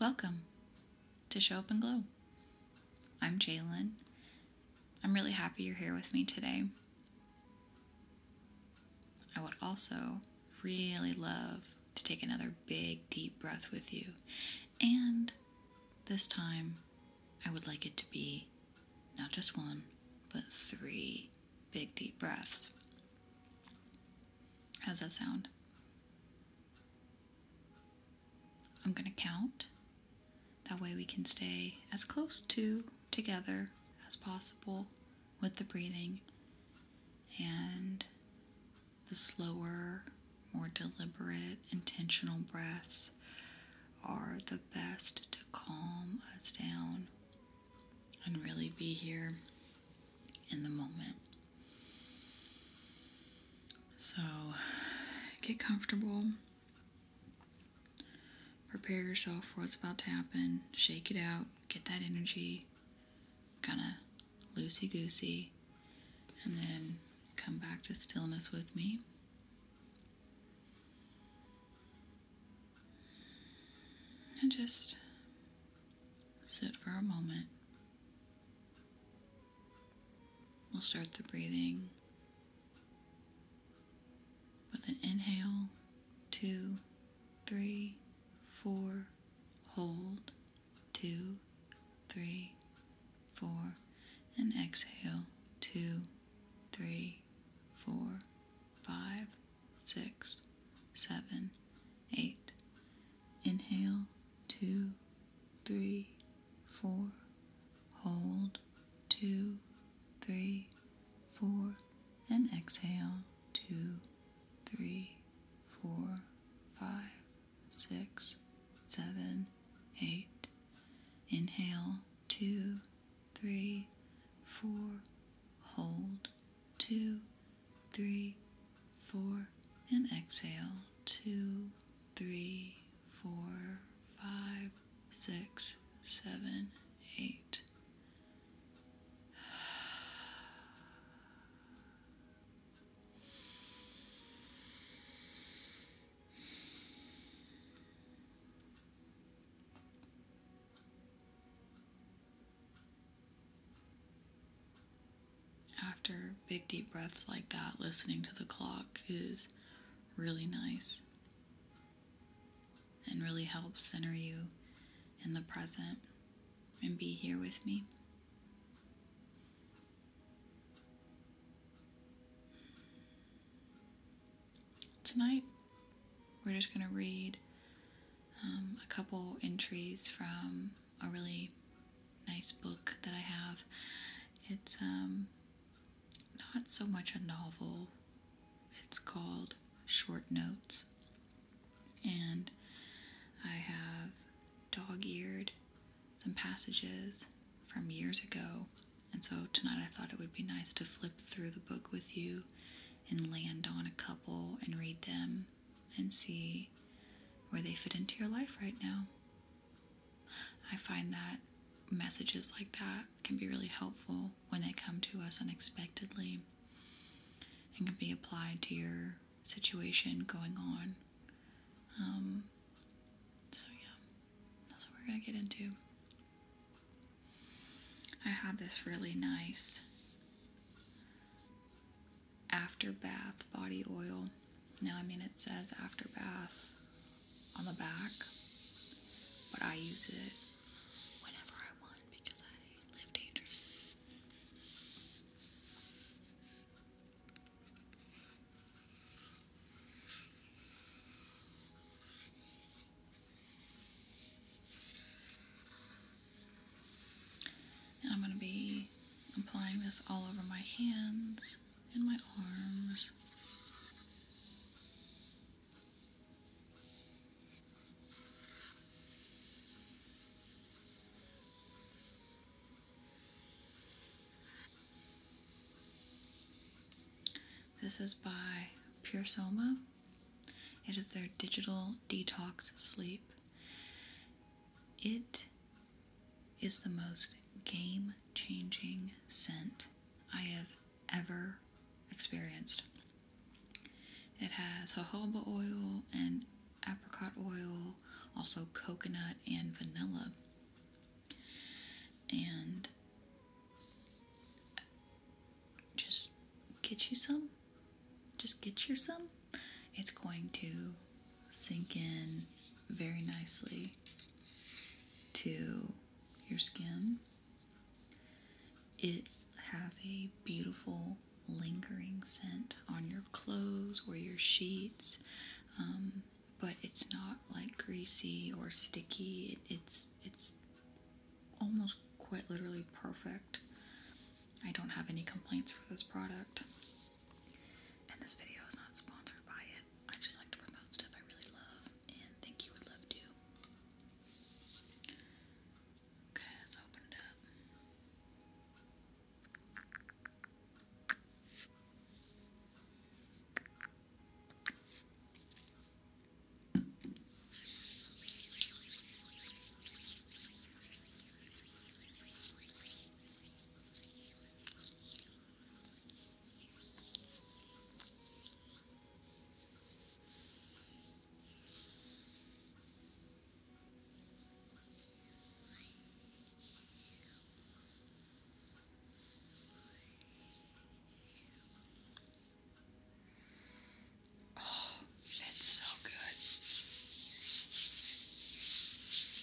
Welcome to Show Up and Glow. I'm Jalen. I'm really happy you're here with me today. I would also really love to take another big, deep breath with you. And this time, I would like it to be not just one, but three big, deep breaths. How's that sound? I'm going to count. That way we can stay as close to together as possible with the breathing and the slower, more deliberate, intentional breaths are the best to calm us down and really be here in the moment. So get comfortable. Prepare yourself for what's about to happen. Shake it out. Get that energy kind of loosey goosey. And then come back to stillness with me. And just sit for a moment. We'll start the breathing with an inhale, two, three, four, hold, two, three, four, and exhale, two, three, four, five, six, seven, eight. Inhale, two, three, four, hold, two, three, four, and exhale, two, three, four, five, six, seven, eight. Inhale, two, three, four, hold, two, three, four, and exhale, two, three, four, five, six, seven, eight. After big deep breaths like that, listening to the clock is really nice and really help center you in the present and be here with me. Tonight, we're just going to read um, a couple entries from a really nice book that I have. It's um, not so much a novel, it's called Short Notes. And I have dog eared some passages from years ago. And so tonight I thought it would be nice to flip through the book with you and land on a couple and read them and see where they fit into your life right now. I find that messages like that can be really helpful when they come to us unexpectedly and can be applied to your situation going on. Um, so, yeah, that's what we're going to get into. I have this really nice after bath body oil. Now, I mean, it says after bath on the back, but I use it whenever I want because I live dangerously. And I'm going to be applying this all over my hands in my arms. This is by Pure Soma. It is their digital detox sleep. It is the most game changing scent I have ever experienced. It has jojoba oil and apricot oil, also coconut and vanilla. And just get you some. Just get you some. It's going to sink in very nicely to your skin. It has a beautiful lingering scent on your clothes or your sheets, um, but it's not like greasy or sticky. it's it's almost quite literally perfect. I don't have any complaints for this product. And this video is not sponsored by it. I just like to promote stuff I really love and think you would love too. Okay, let's open it up. Oh, that's so good.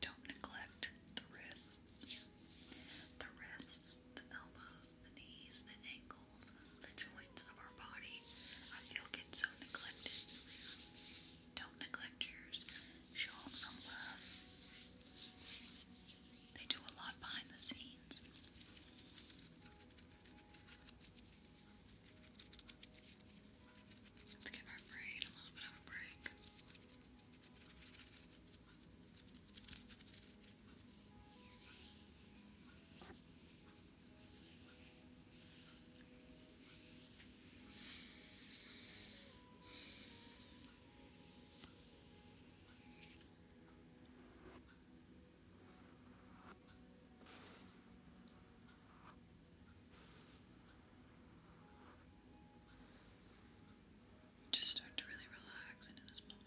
Don't neglect the wrists. The wrists, the elbows, the knees, the ankles, the joints of our body, I feel get so neglected. Don't neglect yours. Show them some love. They do a lot behind the scenes. Let's give our brain a little bit of a break. Just start to really relax into this moment.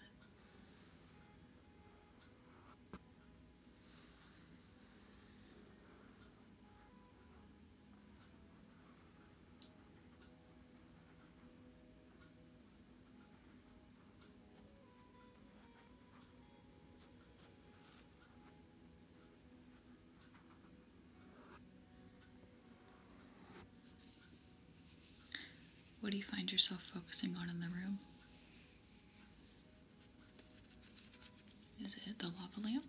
What do you find yourself focusing on in the room? Is it the lava lamp?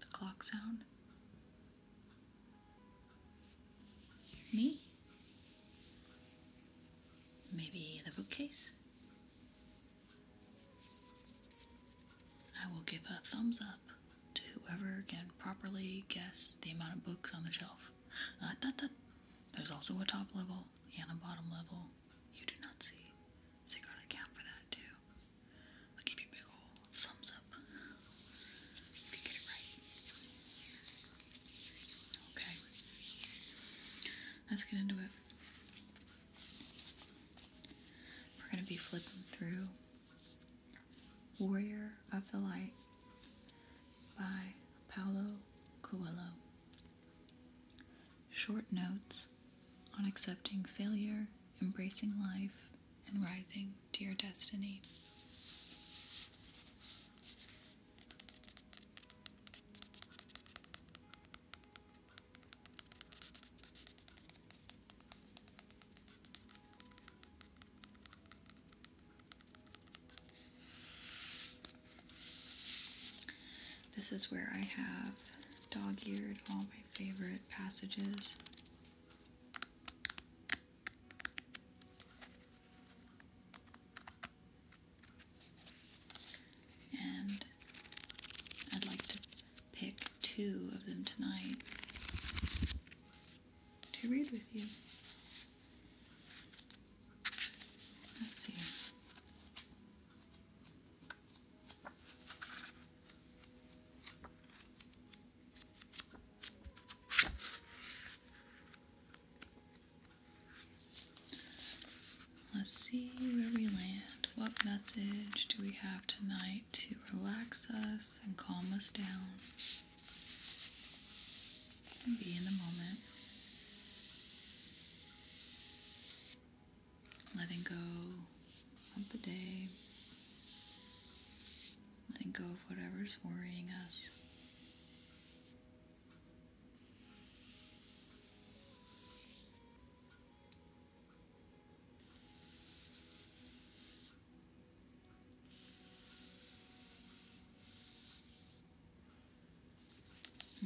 The clock sound? Me? Maybe the bookcase? I will give a thumbs up to whoever can properly guess the amount of books on the shelf. Uh, There's also a top level and a bottom level. You do not see. So you gotta account for that too. I'll give you a big ol' thumbs up if you get it right. Okay. Let's get into it. We're going to be flipping through Warrior of the Light by Paulo Coelho. Short notes on accepting failure, embracing life, and rising to your destiny. This is where I have dog eared all my favorite passages and I'd like to pick two of them tonight to read with you. Let's see. Let's see where we land. What message do we have tonight to relax us and calm us down and be in the moment? letting go of the day, letting go of whatever's worrying us.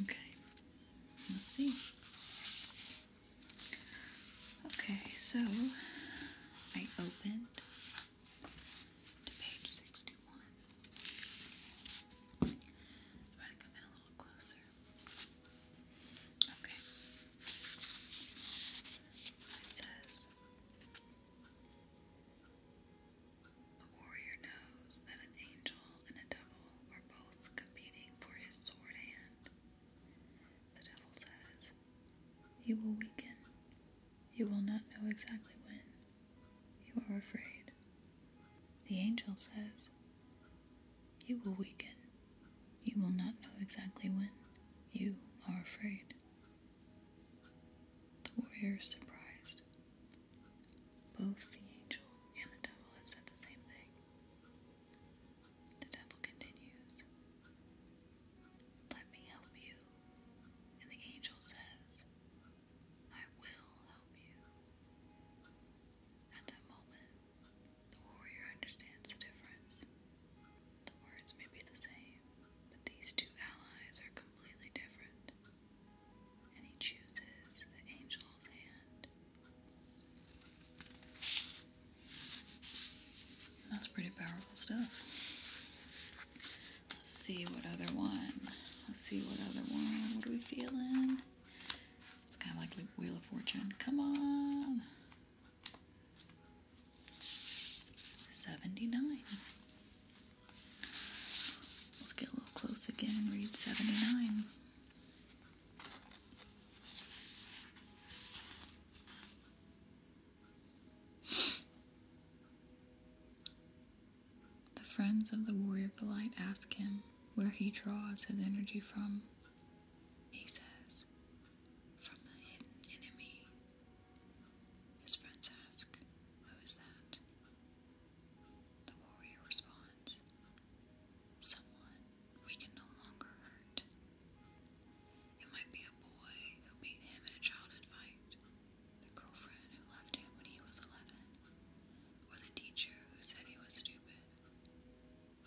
Okay, let's see. Okay, so I opened to page 61. I'm going to come in a little closer. Okay. It says a warrior knows that an angel and a devil are both competing for his sword hand. The devil says, You will weaken. You will not know exactly when. You are afraid. The angel says, You will weaken. You will not know exactly when. You are afraid. The warrior is surprised. Both the angel and the devil have said the same thing. The devil continues, Let me help you. And the angel says, I will help you. At that moment, the warrior understands the difference. The words may be the same, but these two allies are completely different. And he chooses the angel's hand that's pretty powerful stuff. Let's see what other one. Let's see what other one. What are we feeling? It's kind of like Wheel of Fortune. Come on. 79. Let's get a little close again read 79 the friends of the Warrior of the Light ask him where he draws his energy from. He says, From the hidden enemy. His friends ask, Who is that? The warrior responds, someone we can no longer hurt. It might be a boy who beat him in a childhood fight, the girlfriend who left him when he was 11, or the teacher who said he was stupid.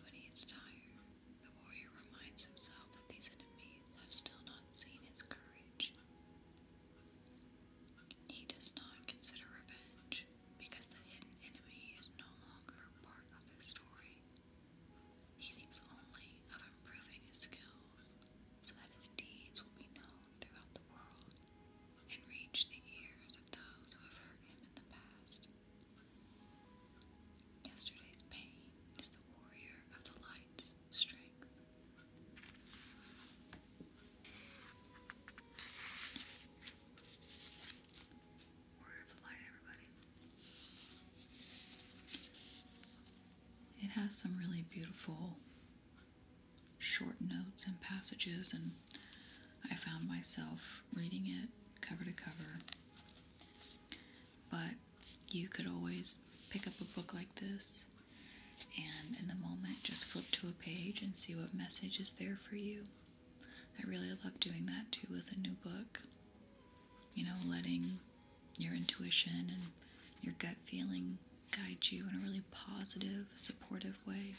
When he is tired, the warrior reminds himself that these enemies have still not seen his courage. He does not consider revenge because the hidden enemy is no longer part of the story. He thinks only of improving his skills so that his deeds will be known throughout the world and reach the ears of those who have hurt him in the past. Yesterday's pain is the warrior of the light's strength. It has some really beautiful short notes and passages, and I found myself reading it cover to cover. But you could always pick up a book like this and in the moment just flip to a page and see what message is there for you. I really love doing that too with a new book. You know, letting your intuition and your gut feeling guide you in a really positive, supportive way.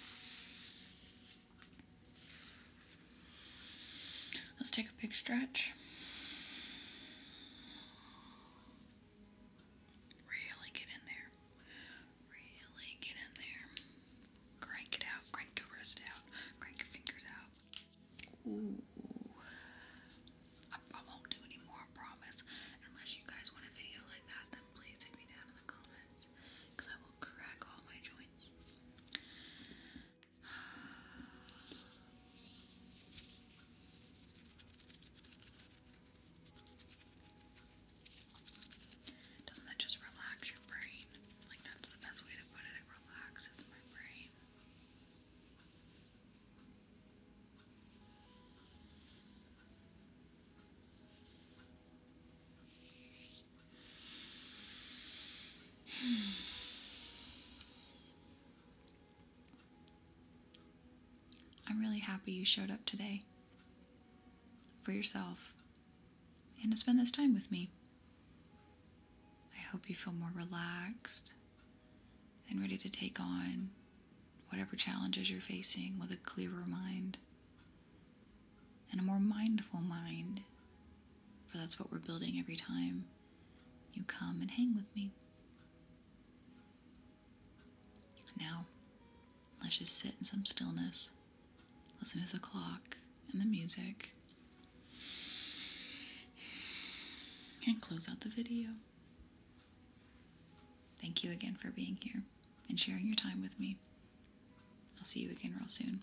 Let's take a big stretch. Really get in there. Really get in there. Crank it out. Crank your wrist out. Crank your fingers out. Ooh. I, won't do any more, I promise. Unless you guys want a video like that, then please take me down in the comments. I will crack all my joints. Doesn't that just relax your brain? Like, that's the best way to put it. It relaxes my brain. I'm really happy you showed up today for yourself and to spend this time with me. I hope you feel more relaxed and ready to take on whatever challenges you're facing with a clearer mind and a more mindful mind, for that's what we're building every time you come and hang with me. Now, let's just sit in some stillness, listen to the clock and the music, and close out the video. Thank you again for being here and sharing your time with me. I'll see you again real soon.